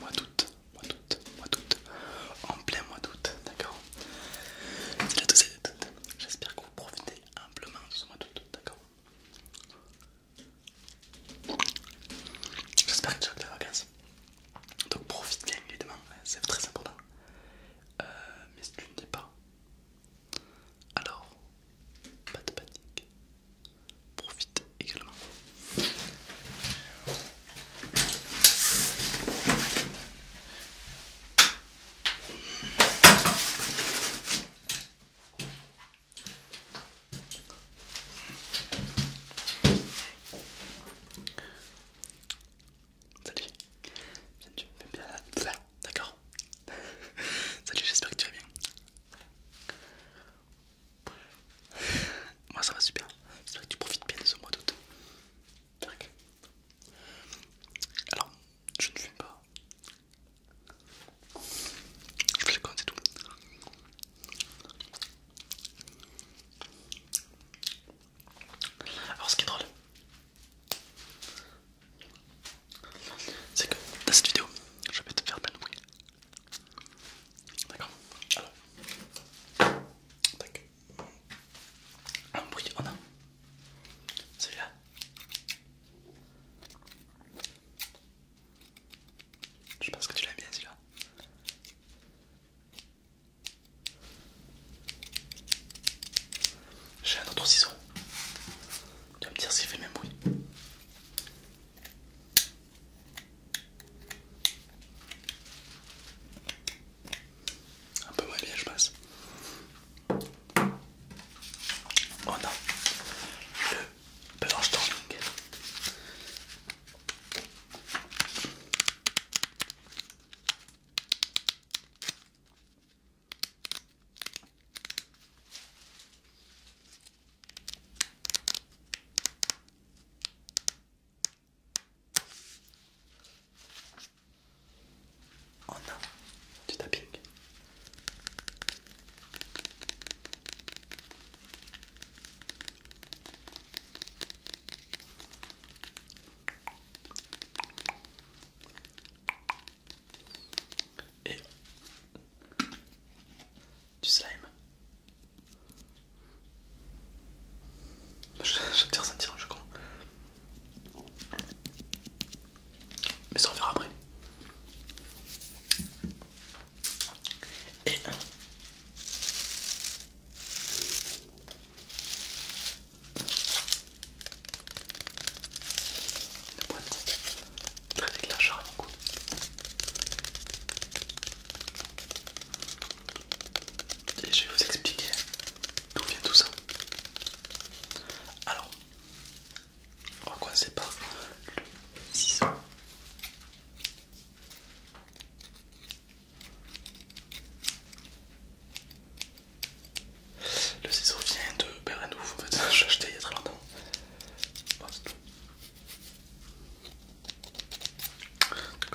Mois d'août, mois d'août, mois d'août, en plein mois d'août, d'accord C'est la deuxième d'août, j'espère que vous profitez amplement de ce mois d'août, d'accord J'espère que tu as des vacances, donc profite bien évidemment, hein, c'est très important. Euh, mais si tu ne l'es pas, alors pas de panique. Profite également. Salut. viens tu bien là. D'accord. Salut, j'espère que tu vas bien. Moi ça va super. J'espère que tu profites bien de ce mois d'août. Alors, je ne fume pas. Je fais le compte, tout. Alors ce qui est drôle, c'est que dans cette vidéo, je vais te faire plein de bruit. D'accord Alors, tac. Un bruit, on a celui-là. Je pense que tu l'aimes bien celui-là. J'ai un autre ciseau. Tu vas me dire s'il fait même bruit. Un peu moins bien, je passe. On oh a le blanche Oh On a et du slime. tire ça sentir, je crois. Mais ça on verra après. Et une boîte très déclencheur à mon goût. Et je vais vous expliquer d'où vient tout ça. Alors, on va commencer par le ciseau. Le ciseau vient de Berenouf, en fait, j'ai acheté il y a très longtemps. c'est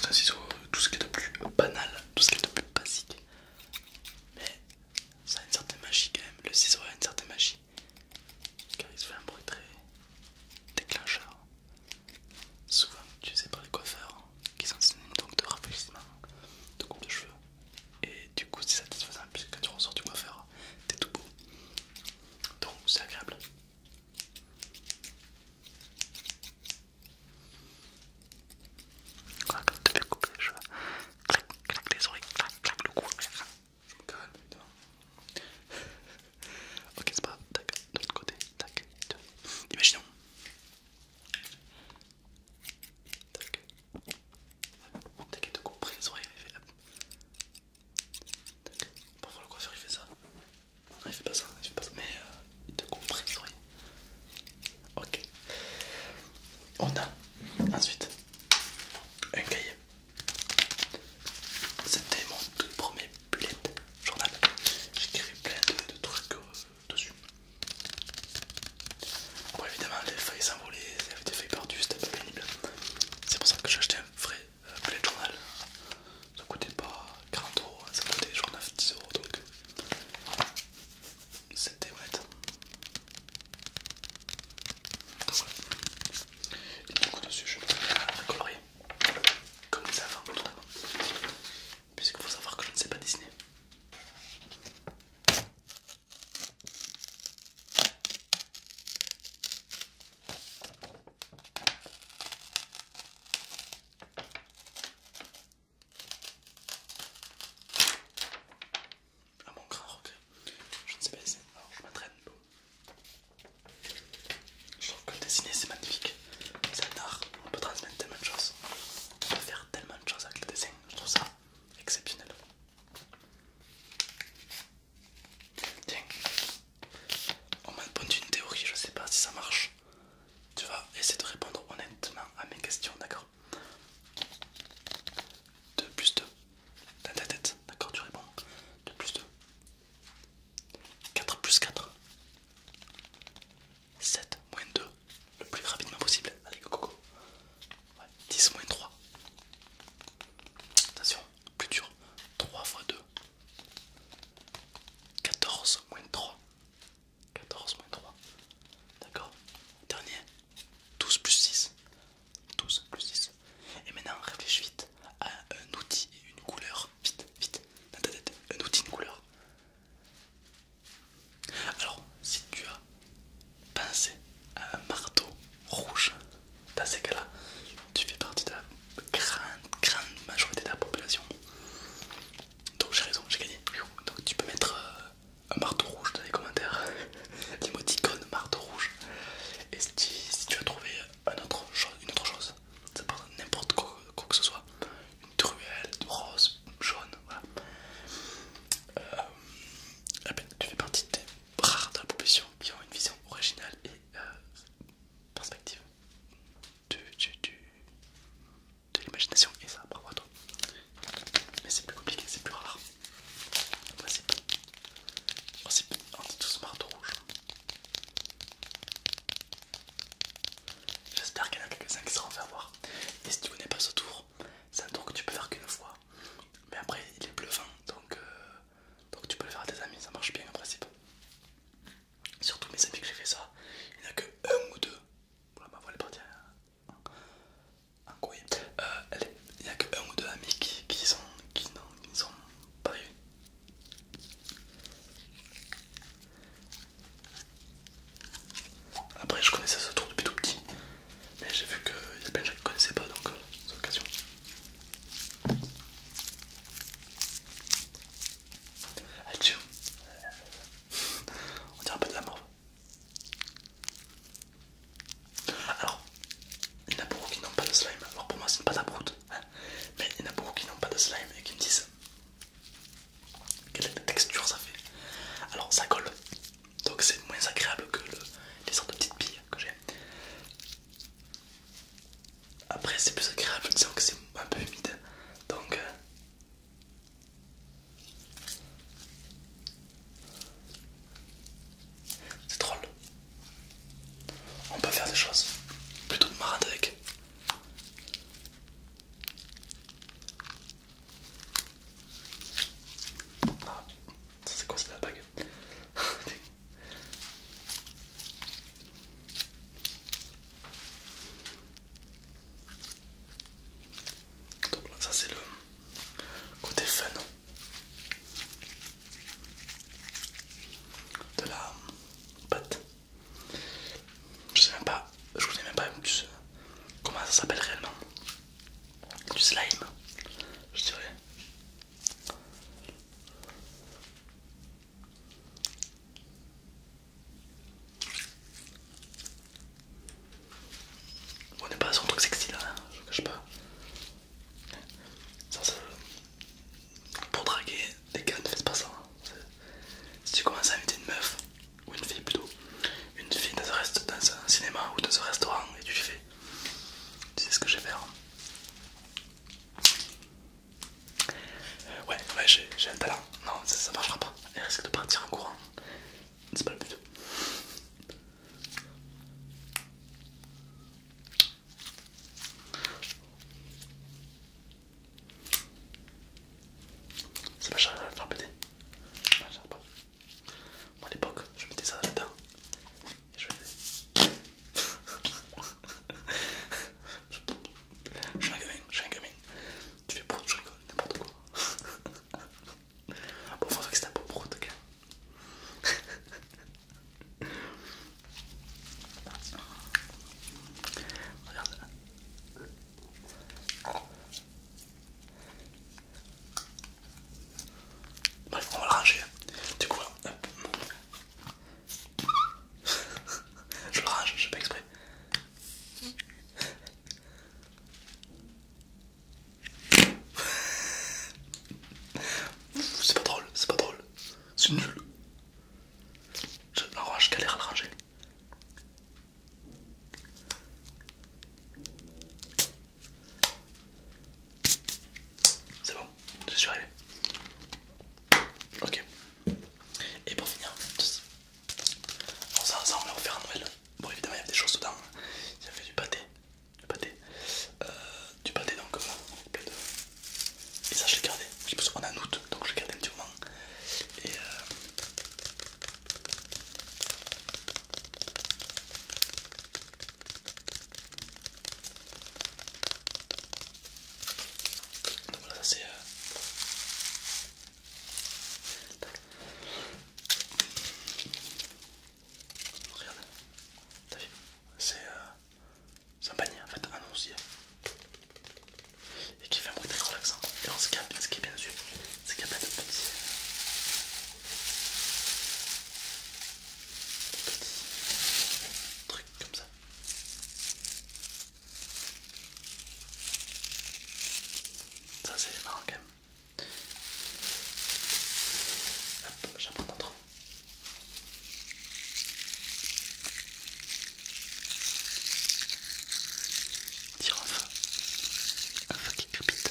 c'est un ciseau, euh, tout ce qui est de plus banal, tout ce qui est de plus basique. Mais ça a une certaine magie quand même, le ciseau a une certaine magie. Car il se fait un bruit très déclencheur souvent utilisé par les coiffeurs hein, qui sont sinon donc de rafraîchissement, de coupe de cheveux. Et du coup, c'est satisfaisant puisque quand tu ressors du coiffeur, hein, t'es tout beau. Donc, c'est agréable. Quand tu fais couper les cheveux, clac, clac les oreilles, clac, clac le cou. Je me calme, putain. Ok, c'est pas tac, de l'autre côté, tac, Imaginons. Tac. T'inquiète te comprend, les oreilles, il fait hop. Tac. Parfois le coiffeur il fait ça. Non, il fait pas ça, il fait pas ça. Mais il euh, te comprend, les oreilles. Ok. On a ensuite un cahier. C'était mon tout premier bullet journal. J'écris plein de, trucs euh, dessus. Bon, évidemment, les feuilles s'envolaient, il y avait des feuilles perdues, c'était un peu pénible. C'est pour ça que j'ai acheté un vrai euh, bullet journal. Ça coûtait pas 40 euros, hein, ça coûtait genre 9-10 euros donc c'était honnête. Donc, voilà. Et donc dessus, je peux la comme ça, fin avant notamment, puisqu'il faut savoir que je ne sais pas dessiner. Ah mon grand regret, je ne sais pas dessiner, alors je m'entraîne je trouve que le dessiner c'est magnifique. C'est un art, on peut transmettre tellement de choses. On peut faire tellement de choses avec le dessin. Je trouve ça exceptionnel. Tiens, on m'a répondu une théorie, je sais pas si ça marche. Tu vas essayer de répondre honnêtement à mes questions, d'accord 2 plus 2 dans ta tête, d'accord Tu réponds 2 plus 2 4 plus 4. 7 moins 2. Le plus rapidement possible. Allez, go, 10 moins 3. Attention, plus dur. 3 fois 2. 14 moins 3. 14 moins 3. D'accord Dernier. 12 plus 6. 12 plus 6. Et maintenant, réfléchis vite un, un outil et une couleur. Vite, vite, dans ta tête, un outil, une couleur. Alors, si tu as pensé à un marteau rouge, dans ces cas-là, tu fais partie de la grande, grande majorité de la population. Donc j'ai raison, j'ai gagné. Donc tu peux mettre euh, un marteau rouge dans les commentaires, l'émoticône marteau rouge. Et si tu, si tu as trouvé autre, une autre chose, ça peut n'importe quoi, que ce soit, une truelle, une rose, jaune, voilà. Euh, eh ben, tu fais partie des rares de la population qui ont une vision originale et euh, perspective de, l'imagination, et ça, bravo à toi. Mais c'est plus compliqué, c'est plus rare. voici On tout tous marteau rouge. J'espère qu'il y en a quelques-uns qui seront fait avoir. Et si tu connais pas ce tour, c'est un tour que tu peux faire qu'une fois. Mais après, il est bluffant, donc, euh, donc tu peux le faire à tes amis, ça marche bien en principe. Surtout mes amis que j'ai fait ça, il n'y a que un ou deux. Voilà, ma voix est partie hein. en, couille. Euh, il n'y a que un ou deux amis qui, sont, qui, non, sont pas après, je connaissais ce tour depuis tout petit, mais j'ai vu que y a plein de gens qui ne connaissaient pas, donc euh, c'est l'occasion. On dirait un peu de la morve. Alors, il y en a beaucoup qui n'ont pas de slime, alors pour moi c'est une pâte à mais il y en a beaucoup qui n'ont pas de slime et qui me disent quelle texture ça fait. Alors ça colle, donc c'est moins agréable que les sortes de petites billes que j'ai. Après c'est plus agréable, disons que c'est un peu humide. Donc euh, c'est drôle. On peut faire des choses plutôt de marade avec. Ah, ça c'est quoi, c'est la bague Donc ça c'est le côté fun de la pâte. Je sais même pas, je connais même pas comment ça s'appelle réellement. Du slime, je dirais. On est pas sur un truc sexy là, hein, je cache pas. Ça, c'est pour draguer, les gars ne faites pas ça. Hein. Si tu commences à inviter une meuf, ou une fille plutôt, une fille dans un, dans un cinéma ou dans un restaurant et tu fais, tu sais ce que je vais faire. Hein. Euh, ouais, ouais, j'ai un talent. Non, ça, marchera pas. Elle risque de partir en courant. C'est pas le but. C'est pas cher à le faire péter. pas. Moi à l'époque, je mettais ça là-dedans. Et je faisais. je suis un gamin, je suis un gamin. Tu fais brut je rigole, n'importe quoi. bon, faut que c'est un peu prout, ok. Regarde là. on va le ranger. Du coup, je le range, je sais pas exprès. C'est pas drôle, c'est pas drôle. C'est nul. Je, alors, je galère à le ranger. C'est bon, je suis arrivé. Ok. Et pour finir, ça, ça on va en à Noël. Bon, évidemment, il y a des choses dedans. Il y fait du pâté, du pâté, euh, du pâté donc plein de... Et ça je l'ai gardé, je pense qu'on est en août donc je l'ai gardé un petit moment. Et, euh... Donc voilà ça c'est... Euh... Regarde, t'as vu euh, C'est un panier en fait, un Et qui fait un bruit très relaxant. Et ce, qui est, ce qui est bien sûr, c'est qu'il y a plein de petits, petits euh, trucs comme ça. Ça c'est marrant quand même. Hop, j'en prends d'autres. Tire un feu. Un feu qui crépite.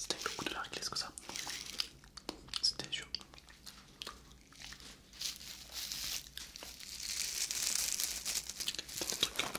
C'était beaucoup de la réglisse que ça C'était sûr. Truc.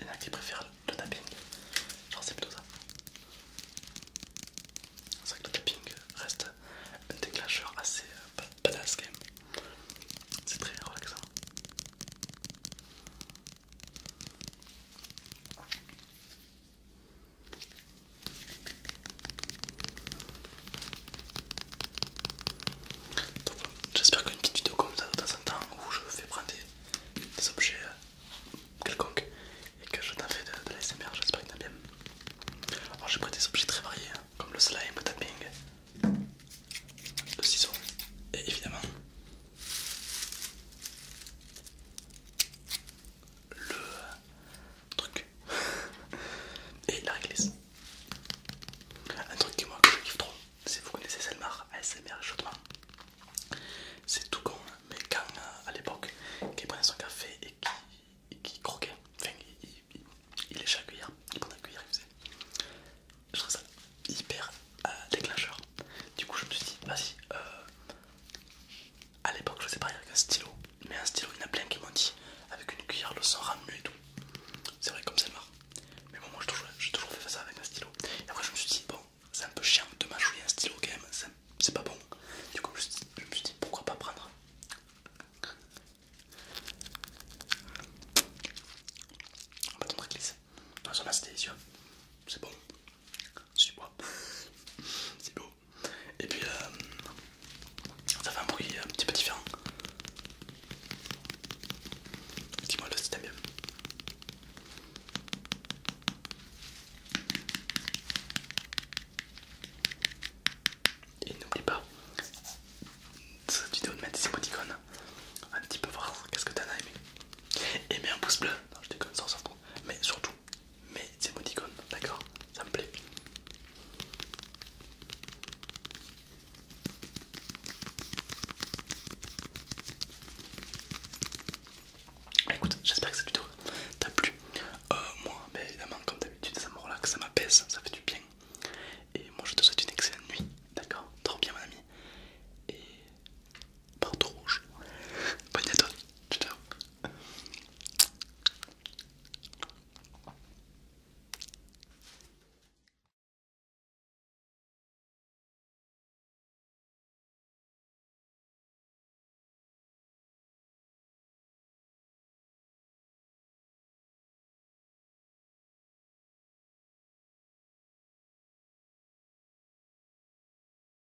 Il y en a qui préfèrent le tapping, genre c'est plutôt ça. C'est vrai que le tapping reste un déclencheur assez euh, badass C'est très relaxant. J'espère qu'une petite vidéo comme ça de temps en temps où je fais prendre des, objets euh, quelconques et que je t'en fais de, l'ASMR, j'espère que t'as bien. Alors j'ai pris des objets très variés hein, comme le slime, le tapping, le ciseau et évidemment le, truc. Et la réglisse. Un truc qui moi je kiffe trop, c'est, vous connaissez Selmar, ASMR chaudement. C'est tout con, hein. mais quand euh, à l'époque, qu'il prenait son café et qu'il croquait, enfin il, il, il léchait la cuillère, il cuillère, il faisait. Je trouve ça hyper euh, déclencheur. Du coup, je me suis dit, vas-y, euh, a l'époque je faisais pareil avec un stylo, mais un stylo il y en a plein qui m'ont dit avec une cuillère le sang ramené et tout. C'est vrai comme c'est marre. Mais bon moi j'ai toujours, fait ça avec un stylo. Et après je me suis dit bon c'est un peu chiant de mâchouiller un stylo quand même, c'est pas bon. Du coup je, me suis dit pourquoi pas prendre un bâton de glisse. Non ça là C'est bon. suis moi C'est beau. Et puis euh, ça fait un bruit un petit peu différent. Dis-moi le si t'aimes bien. Et n'oublie pas cette vidéo de mettre des émoticônes. Un petit peu voir qu'est-ce que t'en as aimé. Et mets un pouce bleu. Non, je déconne, ça on s'en Mais surtout, mais c'est mon icône, d'accord Ça me plaît. Écoute, j'espère que cette vidéo t'a plu. Euh, moi, évidemment, comme d'habitude, ça me relaxe, ça m'apaise, ça fait du bien. Et moi, je te souhaite une excellente nuit, d'accord Trop bien, mon ami. Et Pardon rouge. Bonne nuit à